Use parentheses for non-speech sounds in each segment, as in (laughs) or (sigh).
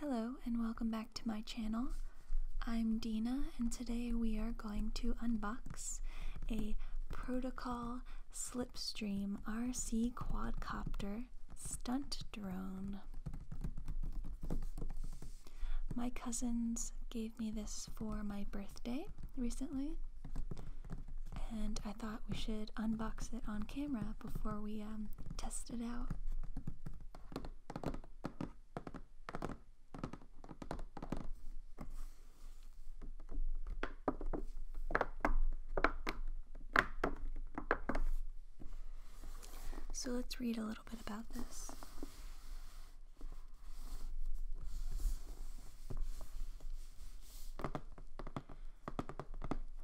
Hello and welcome back to my channel. I'm Dina and today we are going to unbox a Protocol Slipstream RC Quadcopter stunt drone. My cousins gave me this for my birthday recently and I thought we should unbox it on camera before we um, test it out. So let's read a little bit about this.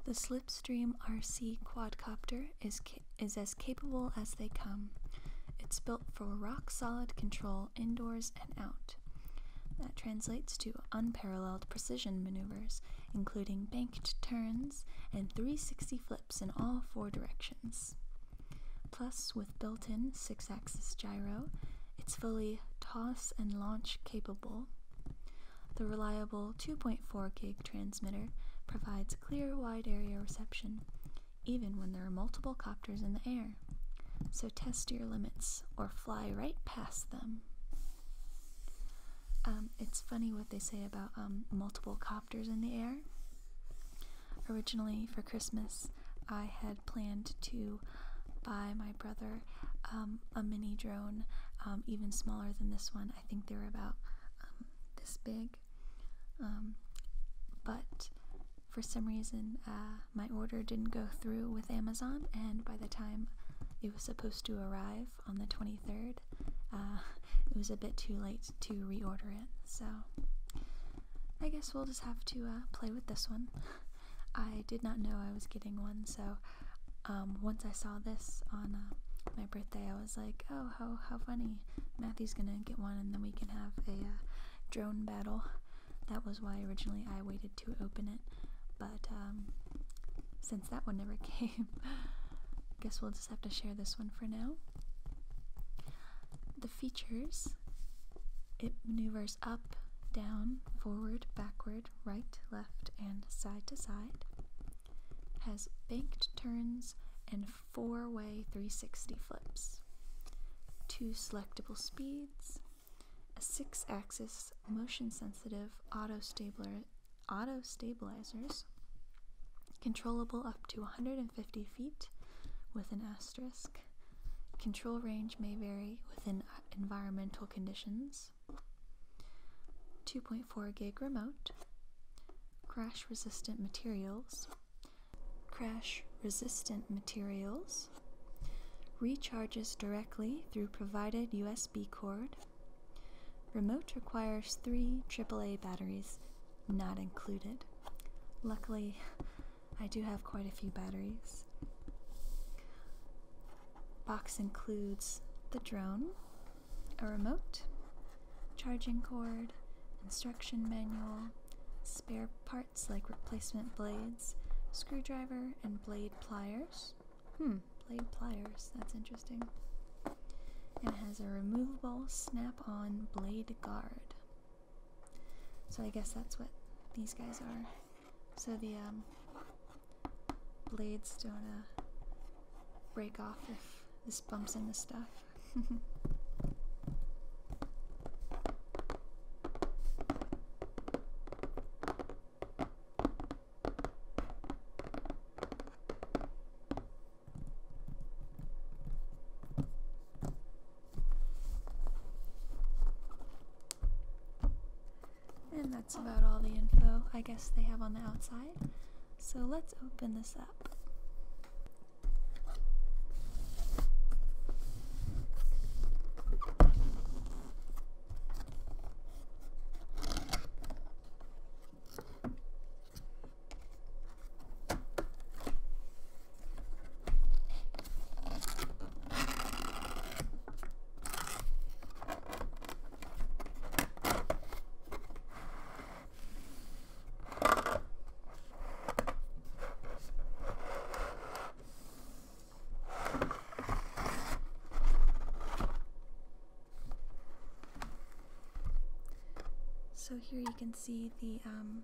The Slipstream RC quadcopter is is as capable as they come. It's built for rock solid control indoors and out. That translates to unparalleled precision maneuvers, including banked turns and 360 flips in all four directions. Plus, with built in 6 axis gyro, it's fully toss and launch capable. The reliable 2.4 gig transmitter provides clear wide area reception, even when there are multiple copters in the air. So test your limits or fly right past them. Um, it's funny what they say about um, multiple copters in the air. Originally, for Christmas, I had planned to buy my brother um, a mini drone, even smaller than this one. I think they were about this big. Um, but for some reason, uh, my order didn't go through with Amazon, and by the time it was supposed to arrive on the 23rd, uh, (laughs) it was a bit too late to reorder it. So I guess we'll just have to uh, play with this one. (laughs) I did not know I was getting one, so um, once I saw this on my birthday, I was like, oh, how how funny! Matthew's gonna get one, and then we can have a uh, drone battle. That was why originally I waited to open it, but um, since that one never (laughs) came, guess we'll just have to share this one for now. The features. It maneuvers up, down, forward, backward, right, left, and side to side has banked turns and four-way 360 flips, two selectable speeds, a six-axis motion-sensitive auto stabilizer. auto stabilizers, controllable up to 150 feet with an asterisk. Control range may vary within uh, environmental conditions. 2.4 gig remote, crash resistant materials, crash resistant materials, recharges directly through provided USB cord. Remote requires three AAA batteries, not included. Luckily, (laughs) I do have quite a few batteries. Box includes the drone, a remote, charging cord, instruction manual, spare parts like replacement blades, screwdriver, and blade pliers. Hmm, blade pliers, that's interesting. It has a removable snap on blade guard. So I guess that's what these guys are. So the um, blades don't uh, break off if this bumps into stuff. (laughs) And that's about all the info I guess they have on the outside. So let's open this up. So here you can see the um,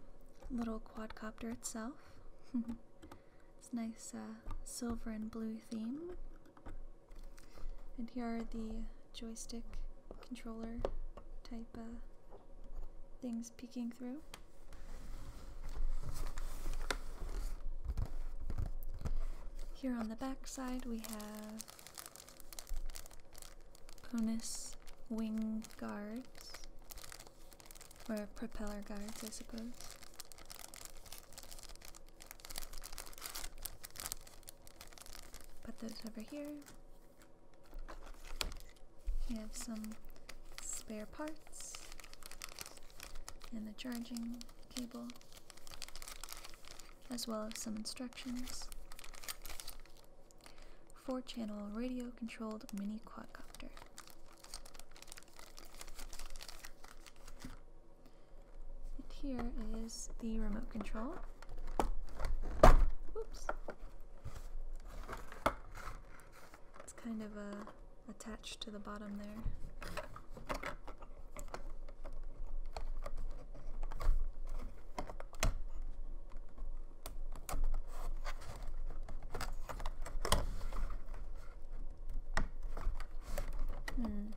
little quadcopter itself. (laughs) it's nice uh, silver and blue theme. And here are the joystick controller type uh, things peeking through. Here on the back side we have Conus wing guards, or propeller guards, I suppose. Put those over here. We have some spare parts and the charging cable, as well as some instructions. Four channel radio controlled mini quadcopter. And here is the remote control. Whoops. It's kind of uh, attached to the bottom there. Hmm.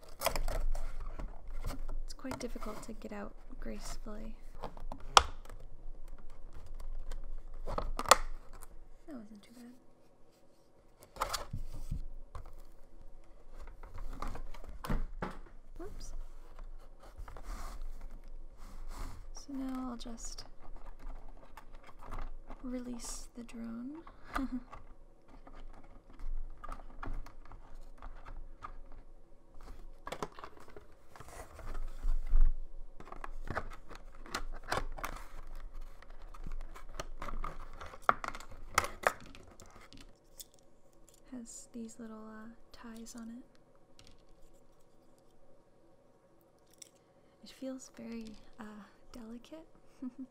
It's quite difficult to get out gracefully. That wasn't too bad. Oops. So now I'll just release the drone. (laughs) (laughs) Has these little uh, ties on it. It feels very uh, delicate. (laughs)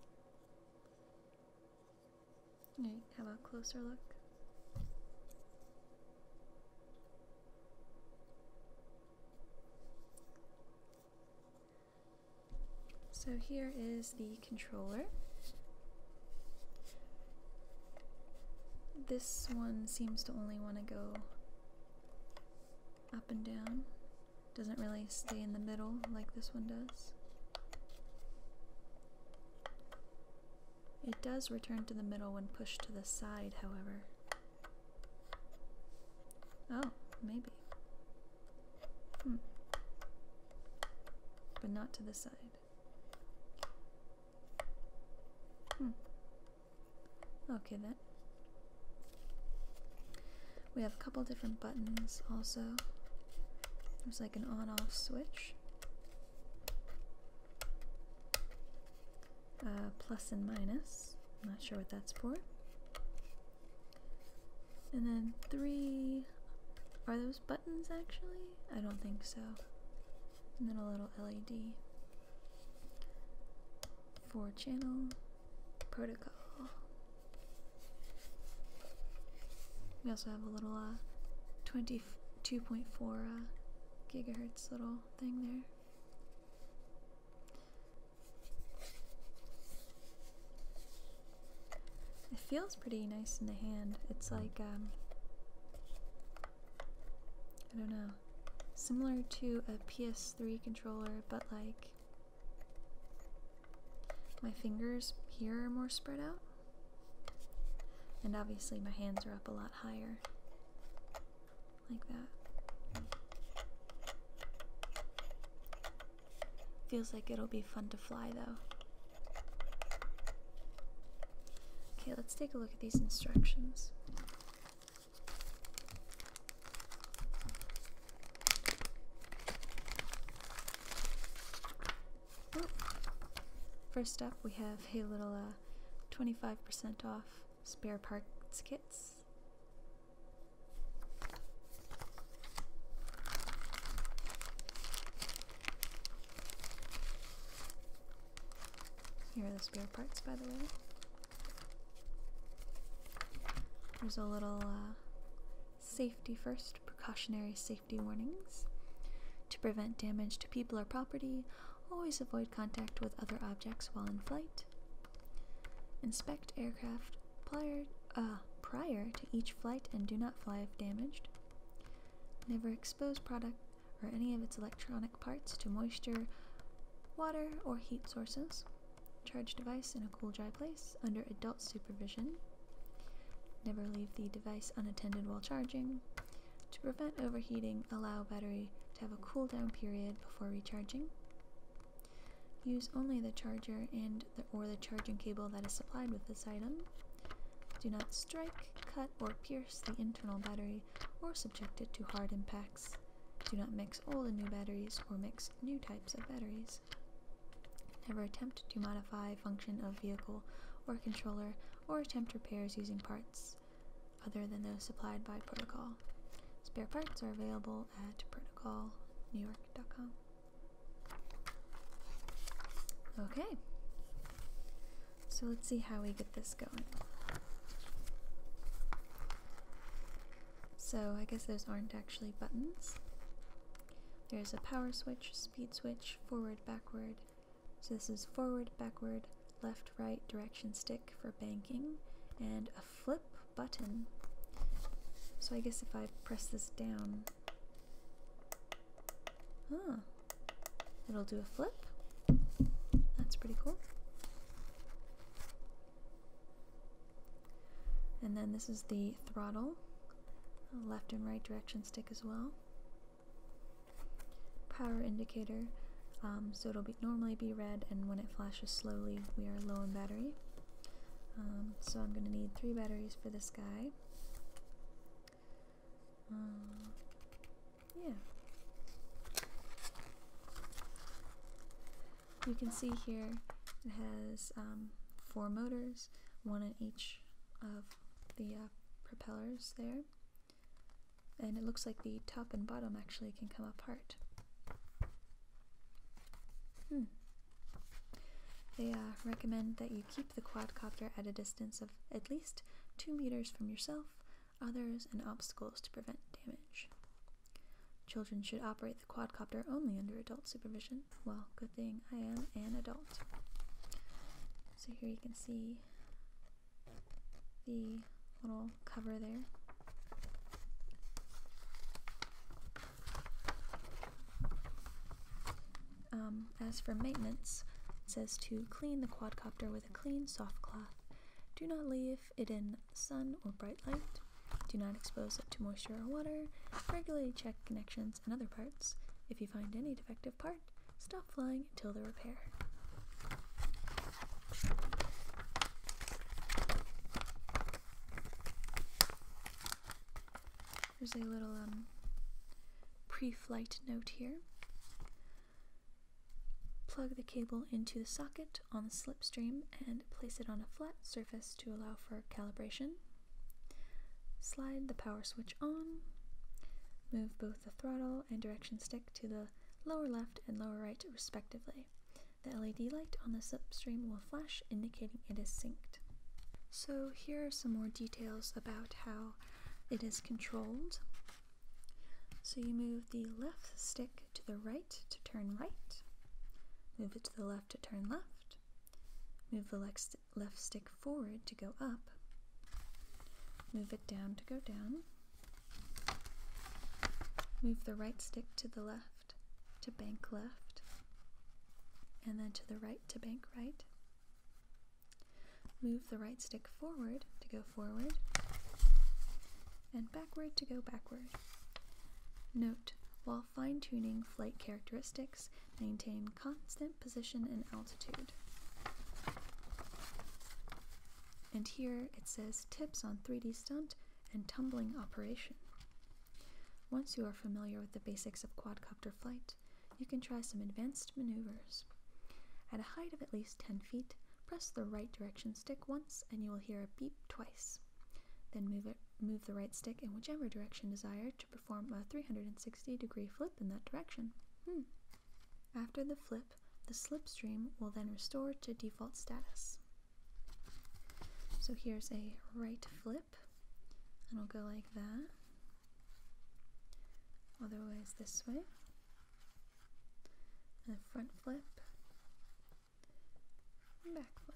Alright, have a closer look. So here is the controller. This one seems to only want to go up and down. Doesn't really stay in the middle like this one does. It does return to the middle when pushed to the side, however. Oh, maybe. Hmm. But not to the side. Hmm. Okay then. We have a couple different buttons also. There's like an on off switch. Uh, and minus. I'm not sure what that's for. And then three. Are those buttons actually? I don't think so. And then a little LED. Four channel protocol. We also have a little uh, 20 2.4 uh, gigahertz little thing there. It feels pretty nice in the hand. It's like, um, I don't know, similar to a PS3 controller, but like my fingers here are more spread out. And obviously, my hands are up a lot higher. Like that. Feels like it'll be fun to fly, though. Okay, let's take a look at these instructions. First up, we have hey little 25% uh, off spare parts kits. Here are the spare parts, by the way. There's a little uh, safety first, precautionary safety warnings. To prevent damage to people or property, always avoid contact with other objects while in flight. Inspect aircraft uh, prior to each flight and do not fly if damaged. Never expose product or any of its electronic parts to moisture, water, or heat sources. Charge device in a cool, dry place under adult supervision. Never leave the device unattended while charging. To prevent overheating, allow battery to have a cool down period before recharging. Use only the charger and or the charging cable that is supplied with this item. Do not strike, cut, or pierce the internal battery or subject it to hard impacts. Do not mix old and new batteries or mix new types of batteries. Never attempt to modify function of vehicle or controller or attempt repairs using parts other than those supplied by Protocol. Spare parts are available at protocolnewyork.com. Okay, so let's see how we get this going. So I guess those aren't actually buttons. There's a power switch, speed switch, forward, backward, so this is forward, backward, left, right direction stick for banking, and a flip button. So I guess if I press this down, huh, it'll do a flip. That's pretty cool. And then this is the throttle, left and right direction stick as well power indicator. Um, so it'll be normally be red, and when it flashes slowly, we are low in battery. Um, so I'm going to need three batteries for this guy. Uh, yeah. You can see here it has um, four motors, one in each of the uh, propellers there. And it looks like the top and bottom actually can come apart. Hmm. They uh, recommend that you keep the quadcopter at a distance of at least 2 meters from yourself, others, and obstacles to prevent damage. Children should operate the quadcopter only under adult supervision. Well, good thing I am an adult. So here you can see the little cover there. Um, as for maintenance, it says to clean the quadcopter with a clean, soft cloth. Do not leave it in sun or bright light. Do not expose it to moisture or water. Regularly check connections and other parts. If you find any defective parts. Stop flying until the repair. There's a little um, pre-flight note here. Plug the cable into the socket on the slipstream and place it on a flat surface to allow for calibration. Slide the power switch on. Move both the throttle and direction stick to the lower left and lower right respectively. The LED light on the slipstream will flash indicating it is synced. So here are some more details about how it is controlled. So you move the left stick to the right to turn right, move it to the left to turn left, move the left, stick left stick forward to go up, move it down to go down, move the right stick to the left to bank left, and then to the right to bank right. Move the right stick forward to go forward, and backward to go backward. Note, while fine tuning flight characteristics, maintain constant position and altitude. And here it says tips on 3D stunt and tumbling operation. Once you are familiar with the basics of quadcopter flight, you can try some advanced maneuvers. At a height of at least 10 feet, press the right direction stick once and you will hear a beep twice. Then move, it, move the right stick in whichever direction desired to perform a 360 degree flip in that direction. Hmm. After the flip, the slipstream will then restore to default status. So here's a right flip, and I'll go like that. Otherwise, this way. And a front flip, and back flip.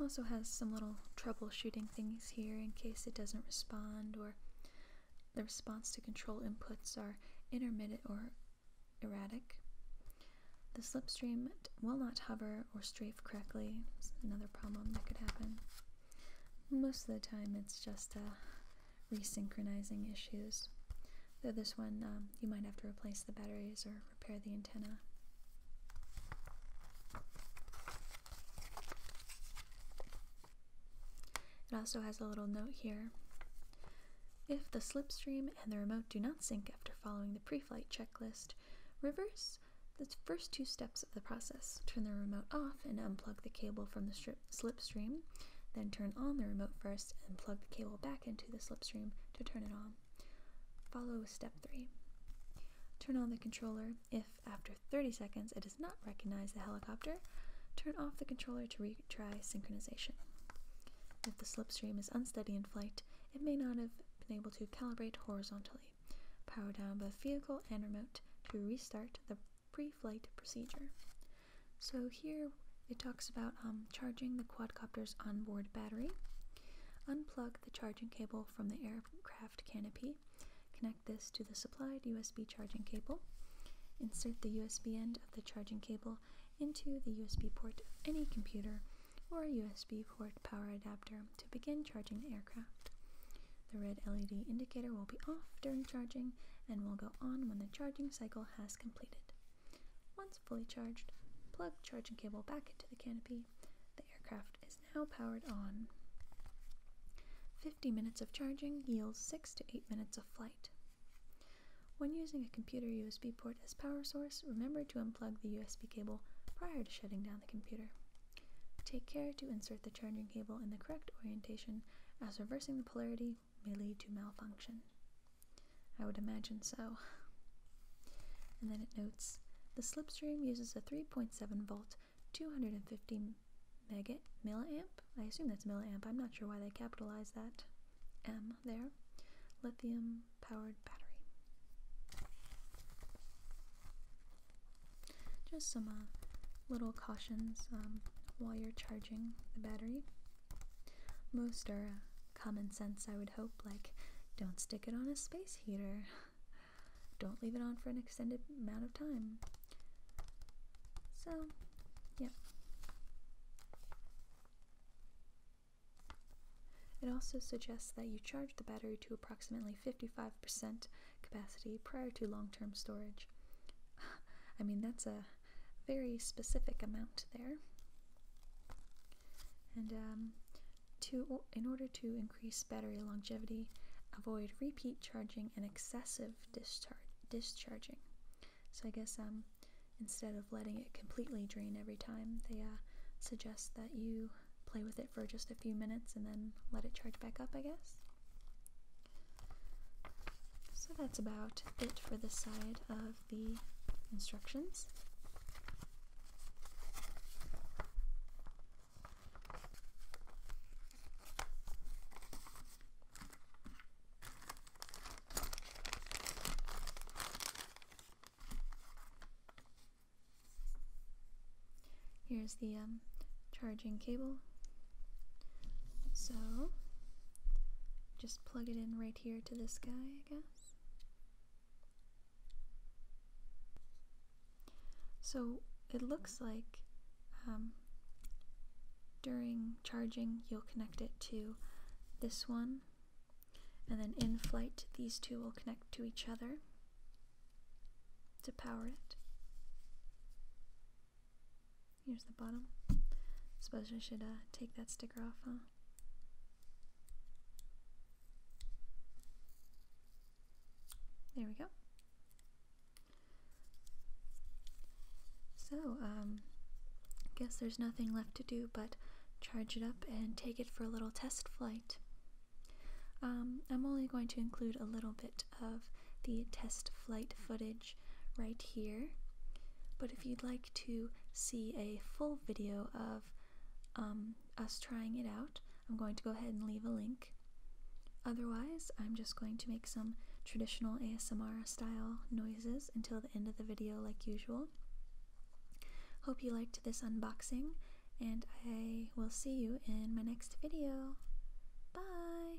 Also has some little troubleshooting things here in case it doesn't respond or the response to control inputs are intermittent or erratic. The slipstream will not hover or strafe correctly. another problem that could happen. Most of the time it's just uh, resynchronizing issues. Though this one, um, you might have to replace the batteries or repair the antenna. It also has a little note here. If the slipstream and the remote do not sync after following the pre flight checklist, reverse the first two steps of the process. Turn the remote off and unplug the cable from the slipstream, then turn on the remote first and plug the cable back into the slipstream to turn it on. Follow step 3. Turn on the controller if, after 30 seconds, it does not recognize the helicopter. Turn off the controller to retry synchronization. If the slipstream is unsteady in flight, it may not have been able to calibrate horizontally. Power down both vehicle and remote to restart the pre-flight procedure. So here it talks about um, charging the quadcopter's onboard battery. Unplug the charging cable from the aircraft canopy. Connect this to the supplied USB charging cable. Insert the USB end of the charging cable into the USB port of any computer or USB port power adapter to begin charging the aircraft. The red LED indicator will be off during charging and will go on when the charging cycle has completed. Once fully charged, plug charging cable back into the canopy. The aircraft is now powered on. 50 minutes of charging yields 6 to 8 minutes of flight. When using a computer USB port as power source, remember to unplug the USB cable prior to shutting down the computer. Take care to insert the charging cable in the correct orientation as reversing the polarity may lead to malfunction. I would imagine so. And then it notes the slipstream uses a 3.7 volt, 250 mega milliamp. I assume that's milliamp. I'm not sure why they capitalize that M there. Lithium powered battery. Just some uh, little cautions um, while you're charging the battery. Most are uh, Common sense, I would hope, like don't stick it on a space heater, (laughs) don't leave it on for an extended amount of time. So, yeah. It also suggests that you charge the battery to approximately 55% capacity prior to long term storage. (laughs) I mean, that's a very specific amount there. And um, to, in order to increase battery longevity, avoid repeat charging and excessive dischar discharging. So I guess um, instead of letting it completely drain every time, they uh, suggest that you play with it for just a few minutes and then let it charge back up, I guess. So that's about it for this side of the instructions. Here's the um, charging cable. So just plug it in right here to this guy, I guess. So it looks like um, during charging, you'll connect it to this one, and then in flight, these two will connect to each other to power it. Here's the bottom. Suppose I should uh, take that sticker off, huh? There we go. So, um, guess there's nothing left to do but charge it up and take it for a little test flight. Um, I'm only going to include a little bit of the test flight footage right here, but if you'd like to see a full video of um, us trying it out. I'm going to go ahead and leave a link. Otherwise, I'm just going to make some traditional ASMR style noises until the end of the video, like usual. Hope you liked this unboxing, and I will see you in my next video. Bye!